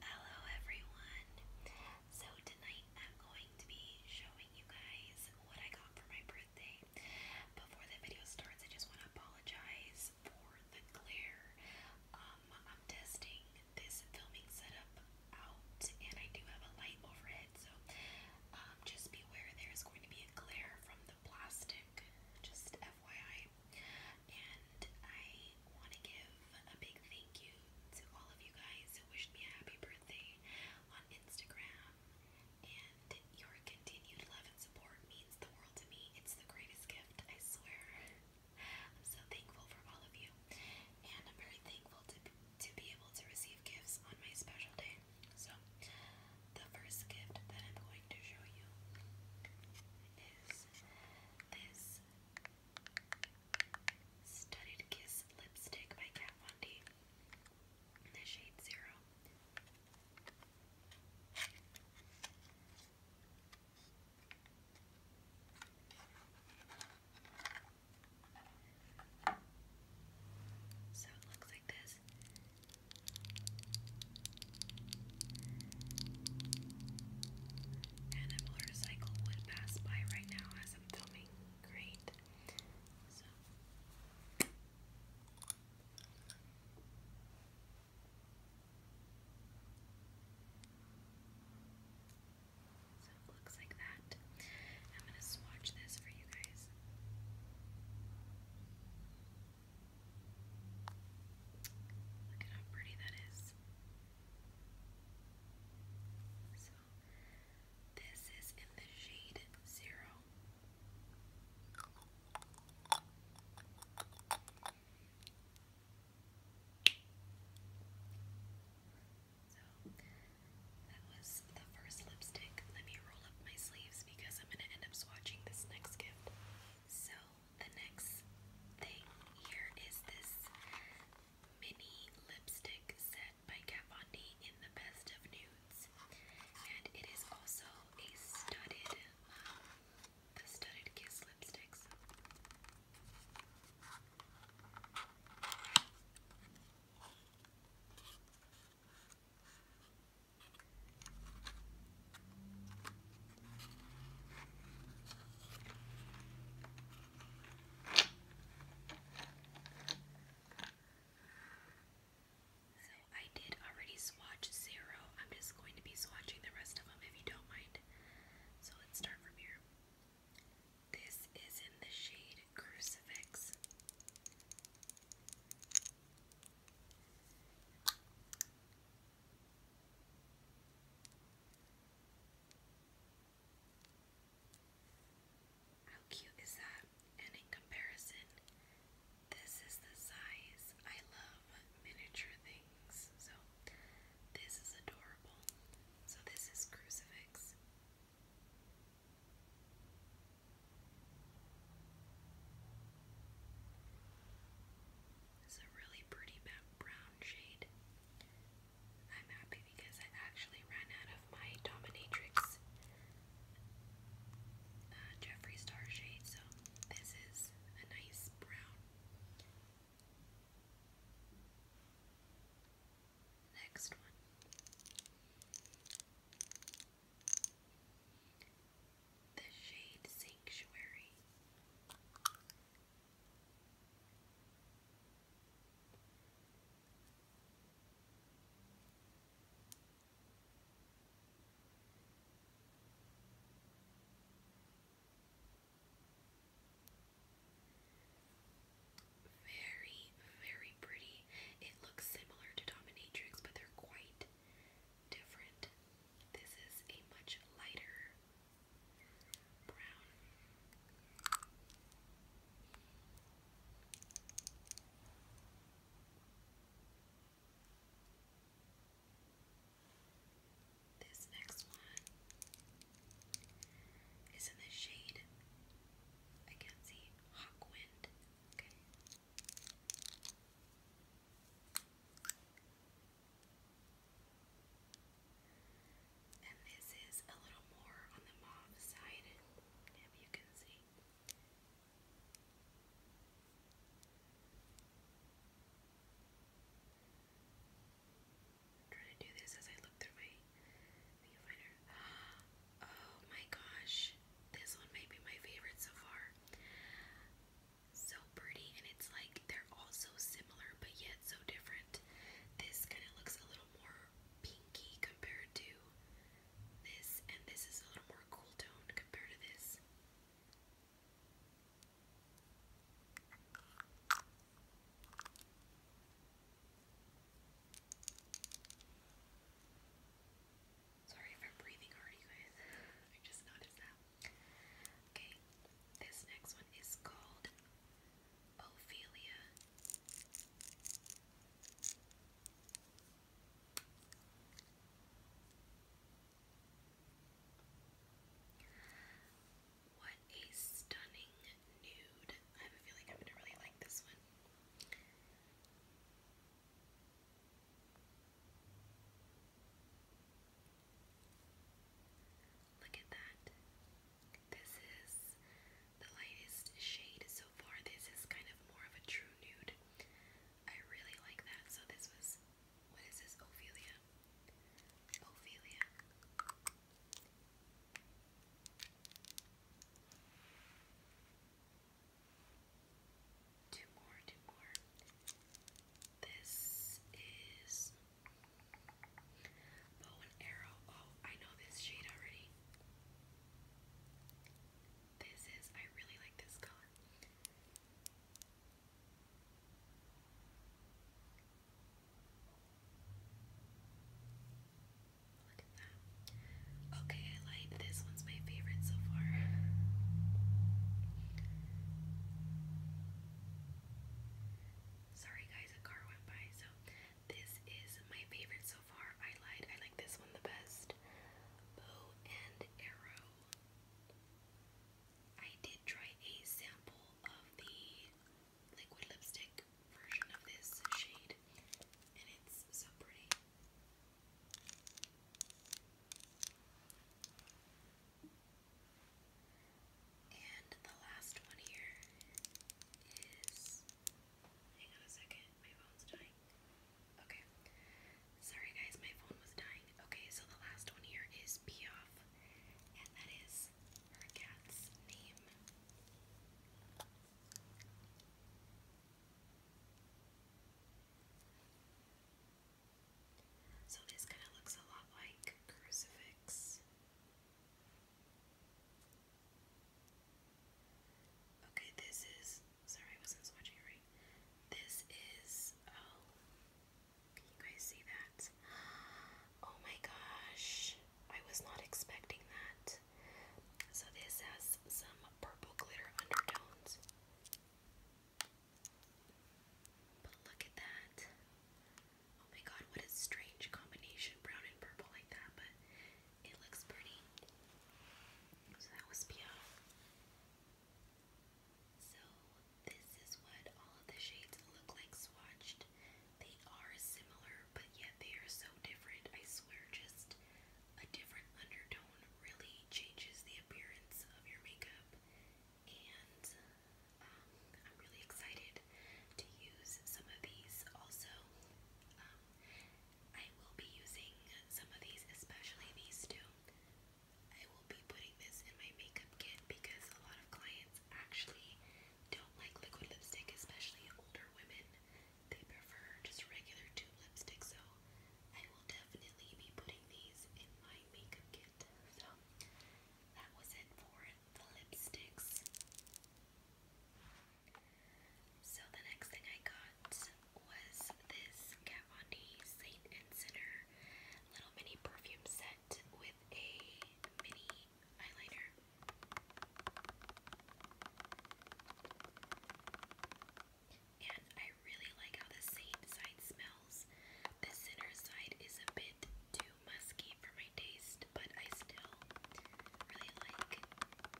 Hello everyone. So tonight I'm going to be showing you guys what I got for my birthday. Before the video starts, I just want to apologize for the glare. Um, I'm testing this filming setup out, and I do have a light overhead, so um, just beware there is going to be a glare from the plastic, just FYI. And I want to give a big thank you to all of you guys who wished me a happy birthday on Instagram. And your continued love and support means the world to me. It's the greatest gift, I swear. I'm so thankful for all of you, and I'm very thankful to to be able to receive gifts on my special day. So, the first gift that I'm going to show you is this Studded Kiss lipstick by Kat Von D in the shade Zero. So it looks like this. And a motorcycle would pass by right now as I'm filming. Great. So. So it looks like that. I'm going to swatch this for you guys. Look at how pretty that is. So, this is in the shade Zero that was the first lipstick. Let me roll up my sleeves because I'm going to end up swatching this next gift. So, the next thing here is this mini lipstick set by Kat in the Best of Nudes. And it is also a studded um, the Studded Kiss lipsticks. So I did already swatch zero. I'm just going to be swatching the rest of them if you don't mind. So let's start from here. This is in the shade Crucifix. How cute is that? And in comparison, this is the size I love miniature things. So this is adorable. So this is crucifix. It's a really pretty brown shade. I'm happy because I actually ran out of my Dominatrix uh, Star shade, so this is a nice brown Next one. The Shade Sanctuary. Very, very pretty. It looks similar to Dominatrix, but they're quite different. This is a much lighter brown. This next one is in the shade, I can't see, Hawk Okay. And this is a little more on the mauve side, if you can see trying to do this as I look through my viewfinder. Oh my gosh, this one might be my favorite so far. So pretty, and it's like they're all so similar but yet so different. This kind of looks a little more pinky compared to this, and this is a little more cool toned compared to this. Sorry if I'm breathing hard, you guys. I just noticed that. Okay, this next one is called Ophelia. What a stunning nude. I have a feeling I'm gonna really like this one. Look at that. This is the lightest shade so far. This is kind of more of a true nude. I really like that. So, this was what is this? Ophelia. Ophelia. Two more, two more. This is bow and arrow. Oh, I know this shade already. This is, I really like this color. Okay, I lied. This one's my favorite so far. Sorry, guys, a car went by. So, this is my favorite so far. I lied. I like this one the best. Bow and arrow. I did try a sample of the liquid lipstick version of this shade, and it's so pretty. And the last one here is. Hang on a second, my phone's dying. Okay. Sorry guys, my phone was dying. Okay, so the last one here is Piaf, and that is her cat's name. So this kind of looks a lot like crucifix. Okay, this is Sorry, I wasn't swatching right. This is. Oh, can you guys see that? Oh my gosh. I was not expecting that. So, this has some purple glitter undertones. But look at that. Oh my god, what a strange combination brown and purple like that, but it looks pretty. So that was Pia. So this is what all of the shades look like swatched. They are similar, but yet they are so different. I swear, just a different undertone really changes the appearance of your makeup. And um, I'm really excited to use some of these also. Um, I will be using some of these, especially these two, I will be putting this in my makeup kit because a lot of clients actually don't like liquid lipstick, especially older women. They prefer just regular tube lipstick, so I will definitely be putting these in my makeup kit. So that was it for the lipsticks. So the next thing I got was this Kat Saint and Sinner little mini perfume set with a mini eyeliner. And I really like how the Saint side smells. The Sinner side is a bit too musky for my taste, but I still really like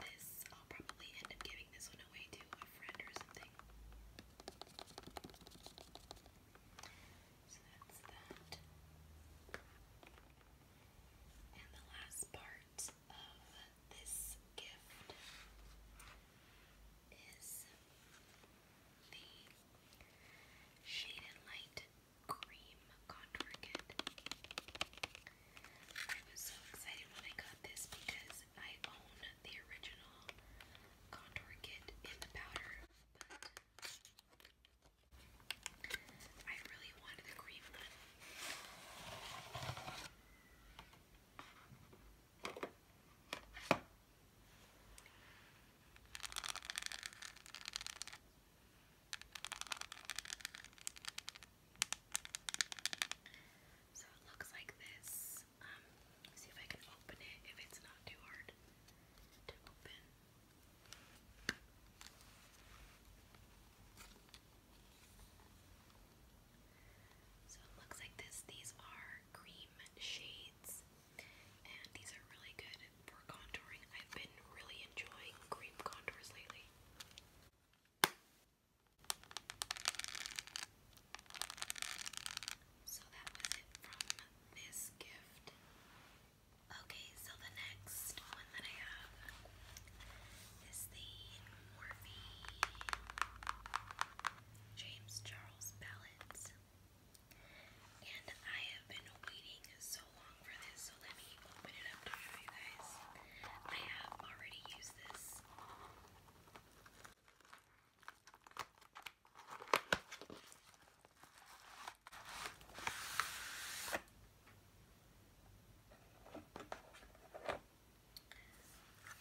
this. I'll probably end up giving this one away to a friend or something. So that's that. And the last part of this gift is the Shade and Light Cream Contour Kit. I was so excited when I got this because because I own the original contour kit in the powder, I really wanted the cream one. So it looks like this. Um, it So it looks like this. These are cream shades, and these are really good for contouring. I've been really enjoying cream contours lately. So that was it from this gift. Okay, so the next one that I have is the Morphe James Charles palette. And I have been waiting so long for this, so let me open it up to show you guys. I have already used this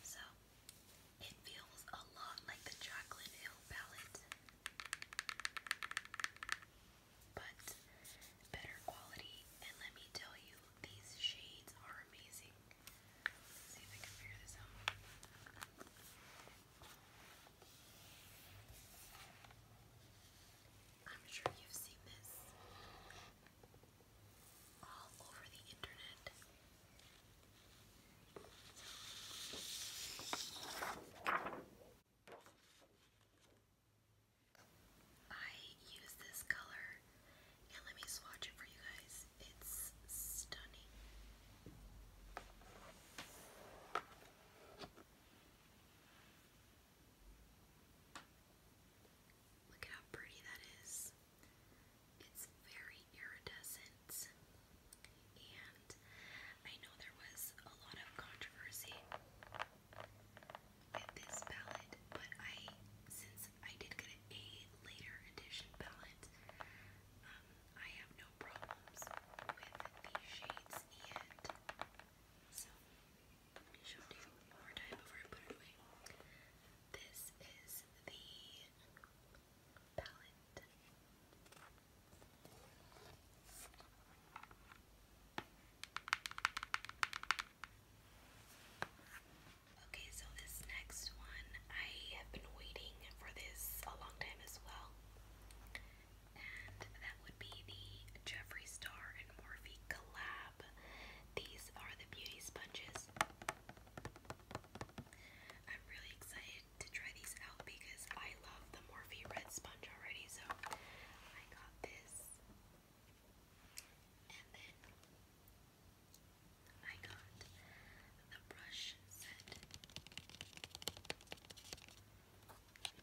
so it feels a lot like the Chocolate Hill palette, but better quality. And let me tell you, these shades are amazing. I I'm sure you've seen this all over the internet. I use this color and let me swatch it for you guys. It's stunning. Look at how pretty that is. It's very iridescent. And I know there was a lot of controversy with this palette, but I, I did get a later edition palette. Um, I have no problems with the shades yet. So, let me show you one more time before I put it away. This is the palette. Okay, so this next one, I have been waiting for this a long time as well. And that would be the Jeffree Star and Morphe collab. These are the beauty sponges. I'm really excited to try these out because I love the Morphe red sponge already, so I got this. And then I got the brush set.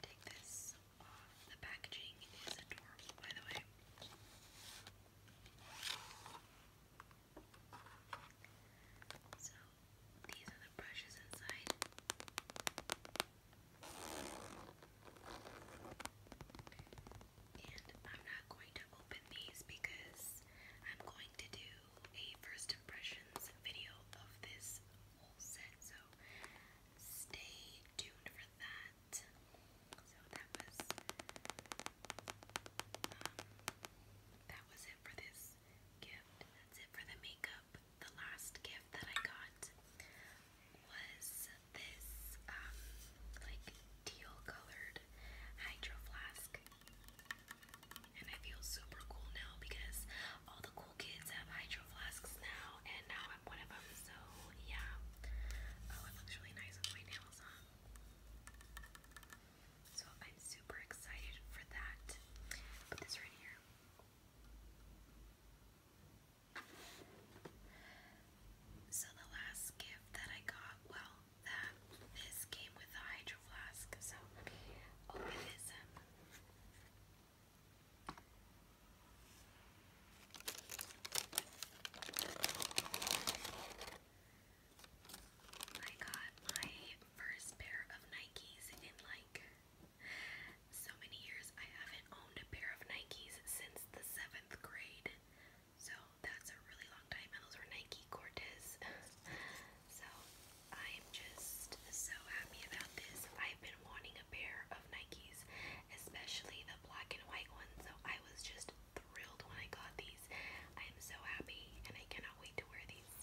take this off. The packaging is adorable, by the way. So, these are the brushes inside. And I'm not going to open these because I'm going to do a first impressions video of this whole set, so stay tuned for that. So that was um, that was it for this gift. That's it for the makeup. The last gift that I got was this um like teal colored hydro flask. And I feel super cool now because all the cool kids have hydro flasks now and now I'm one of them so yeah. Oh it looks really nice with my nails on. So I'm super excited for that. Put this right here. So the last gift that I got, well, that this came with a hydro flask. So open this up. I got my first pair of Nikes in like so many years. I haven't owned a pair of Nikes since the seventh grade. So that's a really long time, those were Nike Cortez. so I'm just so happy about this. I've been wanting a pair of Nikes, especially the black and white ones. So I was just thrilled when I got these. I am so happy, and I cannot wait to wear these.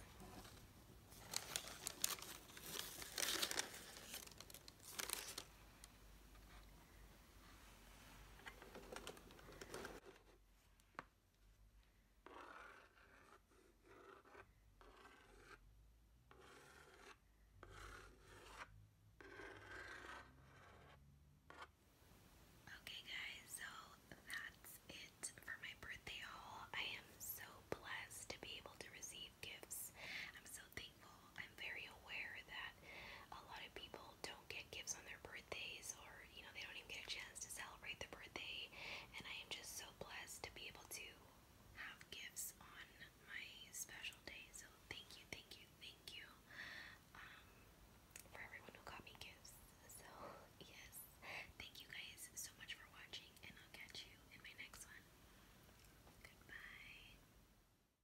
Okay, guys, so that's it for my birthday haul. I am so blessed to be able to receive gifts. I'm so I'm very aware that a lot of people don't get gifts on their birthdays or, you know, they don't even get a chance to celebrate their birthday. And I am just so blessed to be able to have gifts on my special day. So thank you, thank you, thank you um, for everyone who got me gifts. So, yes, thank you guys so much for watching, and I'll catch you in my next one. Goodbye.